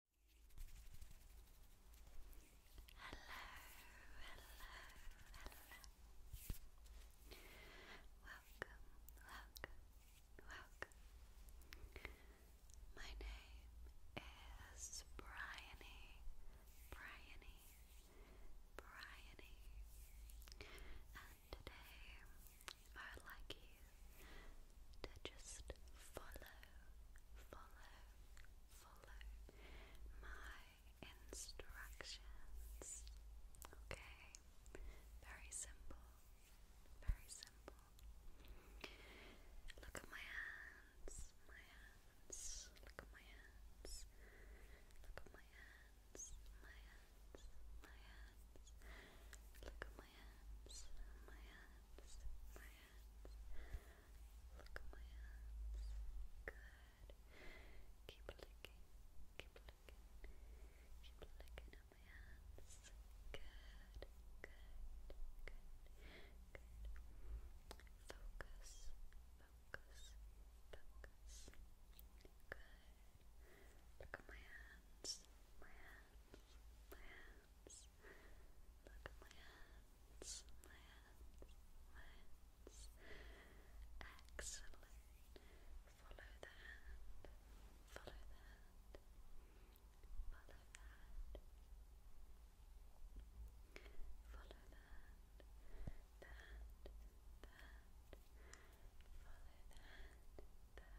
Hello, hello, hello. Welcome, welcome, welcome. My name is Bryony, Bryony, Bryony. And today, I would like you to just follow, follow, follow my instructions. Okay? Very simple. Very simple. Look at my hands. My hands. Look at my hands. Look at my hands. My hands. My hands. Look at my hands. My hands. My hands. Look at my hands. Good. Keep licking. Keep licking. Keep licking at my hands. Good. Good. Good. Good. Focus. Focus. Focus. Good. Look at my hands. My hands. My hands hands. Look at my hands, my hands, my hands. Excellent. Follow the hand, follow the hand, follow the hand, follow the hand, the hand, the hand, follow the hand, the hand.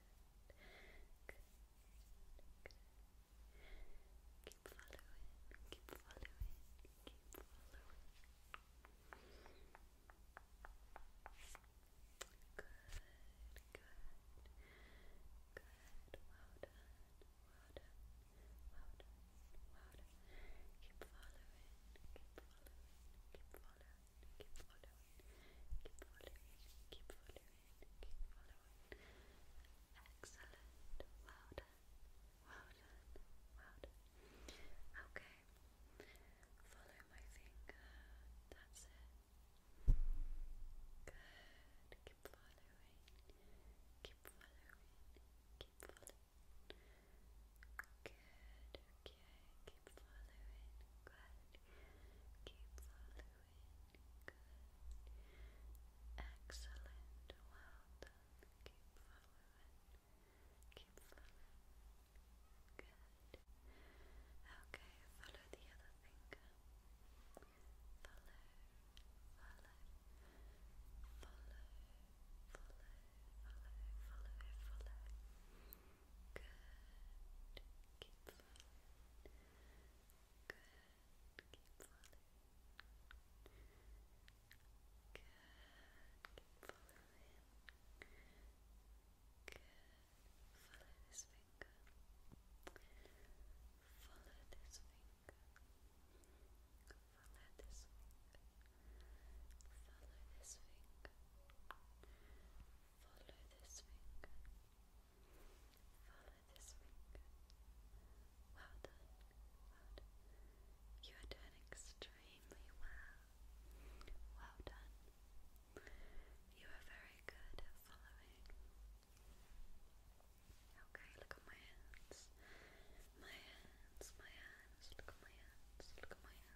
good, good. Keep following, keep following, keep following. Good, good, good. Well done, well done, well done, well done. Keep following, keep following, keep following keep following, keep following, keep following, keep following. Excellent, well done, well Okay, follow my finger, that's it. Good, keep following, keep following, keep following. Good, keep following, good, keep following, good, excellent, well done, keep following, keep following, good, okay, follow the other finger, follow, follow, follow, follow, follow, follow, follow, good, keep falling. Good, keep Good, keep Good, follow this finger. Follow this finger. Follow this finger. Follow this finger. Follow this finger. Follow this finger. Well done. Well done. You are doing extremely well. Well done. You are very good at following. Okay, look at my hands. My hands, my hands, look at my hands, look at my hands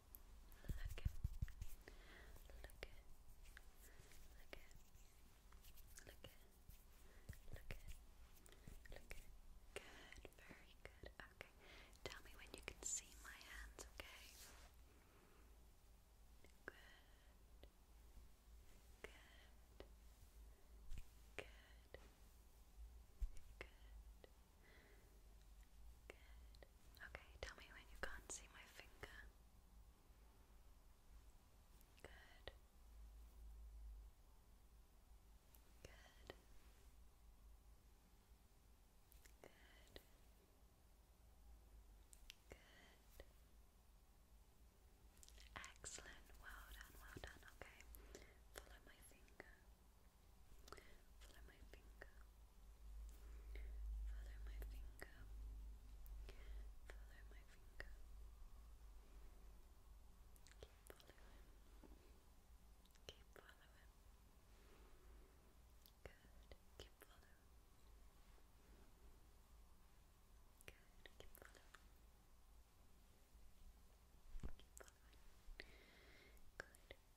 Look Good. Very good. Okay. Tell me when you can see my hands, okay? Good. Good. Good. Good. Okay, tell me when you can't see my finger. Good. Good. Good. Good. Excellent. Well done, well done. Okay. Follow my finger. Follow my finger. Follow my finger. Follow my finger. Keep following. Keep following. Good. Keep following. Good. Keep following. Keep following. Good.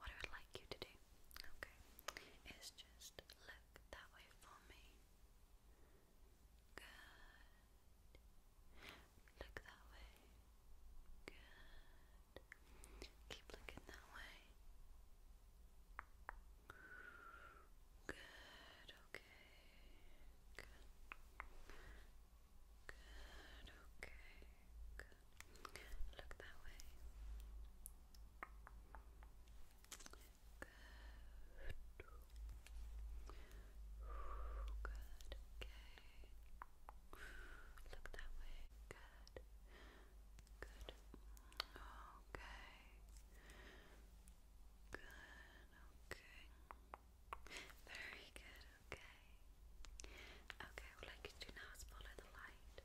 What I would like you to do, okay, is just look that way for me. Good. Look that way. Good. Keep looking that way. Good, okay. Good. okay. Good. Look that way. Good. Good. Okay. Look that way. Good. Good. Okay. Good. Okay. Very good. Okay. Okay, I would like you to now follow the light.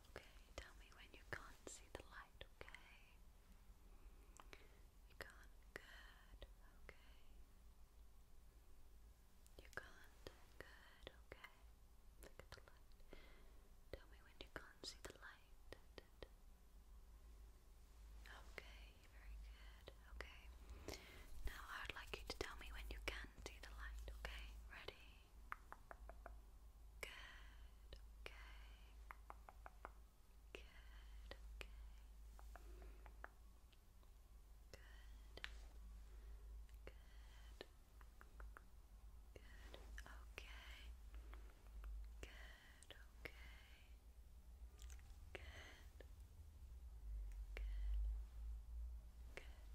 Okay, tell me when you can't see the light, okay? You can't, good, okay. You can't, good, okay. Look at the light. Tell me when you can't see the light. Okay, very good, okay. Now I would like you to tell me when you can see the light, okay? Ready? Good, okay. Good, okay. Good. Good. Good. Okay. Good. Okay.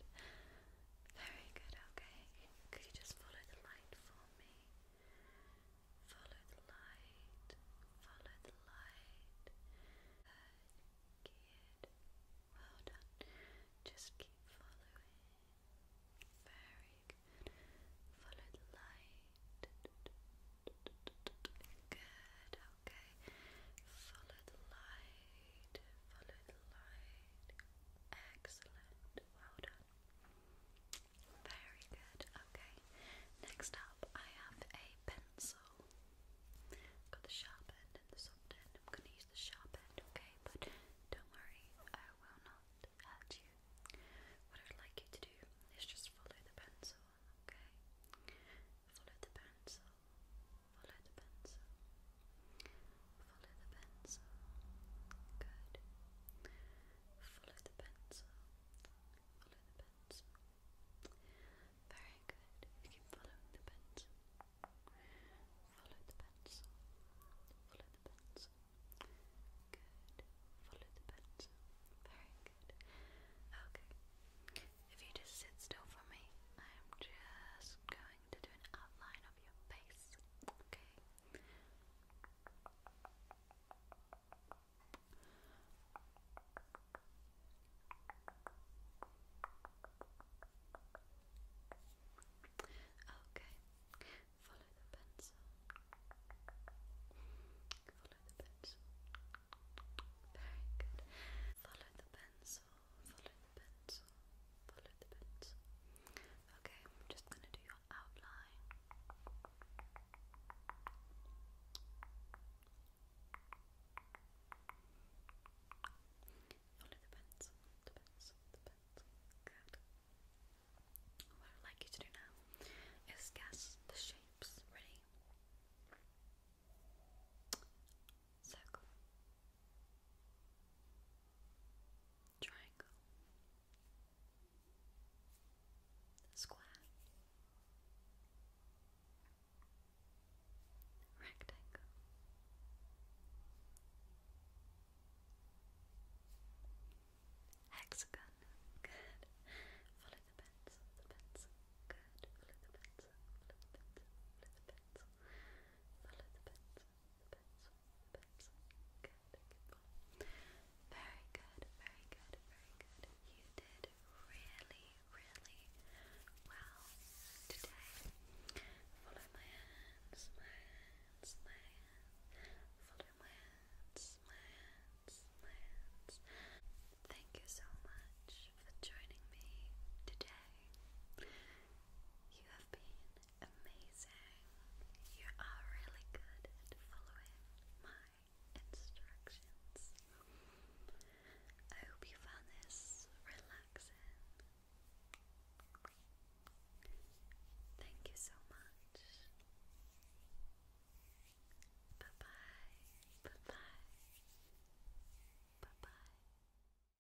Good. Very good, okay. Could you just follow the light for me? Follow the light. Follow the light. Good, good. Well done. Just keep following. Very Follow the light. Good, okay. Follow the light. Follow the light. Excellent. Well done. Very good. Okay. Next up, I have a pencil. got the sharp end and the soft end. I'm going to use the sharp end, okay? But don't worry, I will not hurt you. What I'd like you to do is just follow the pencil, okay? Follow the pencil. Follow the pencil. Follow the pencil. Good. Follow the pencil. Follow the pencil. Very good. You keep following the pencil. Follow the pencil. Follow the pencil. Good. Follow the pencil. Very good. Okay. If you just sit still for me, I'm just going going to do an outline of your face, okay? Okay, follow the pencil. Follow the pencil. Very good. Follow the pencil follow the pencil, follow the pencil. Okay, I'm just gonna do your outline. Follow the pencil, the pencil, the pencil. Good. What I'd like you to do now is guess the shapes. Ready? Circle, triangle, square, rectangle. Hexagon, good. Follow the pencil, the pencil, good. Follow the pencil, follow the pencil, follow the pencil, follow the pencil, very good, very good, very good. You did really, really well today. Follow my hands, my hands, my hands. Follow my hands, my hands, my hands. Thank you so much for joining me today. You have been Amazing. You are really good at following my instructions. I hope you found this relaxing. Thank you so much. Bye bye. Bye bye. Bye bye.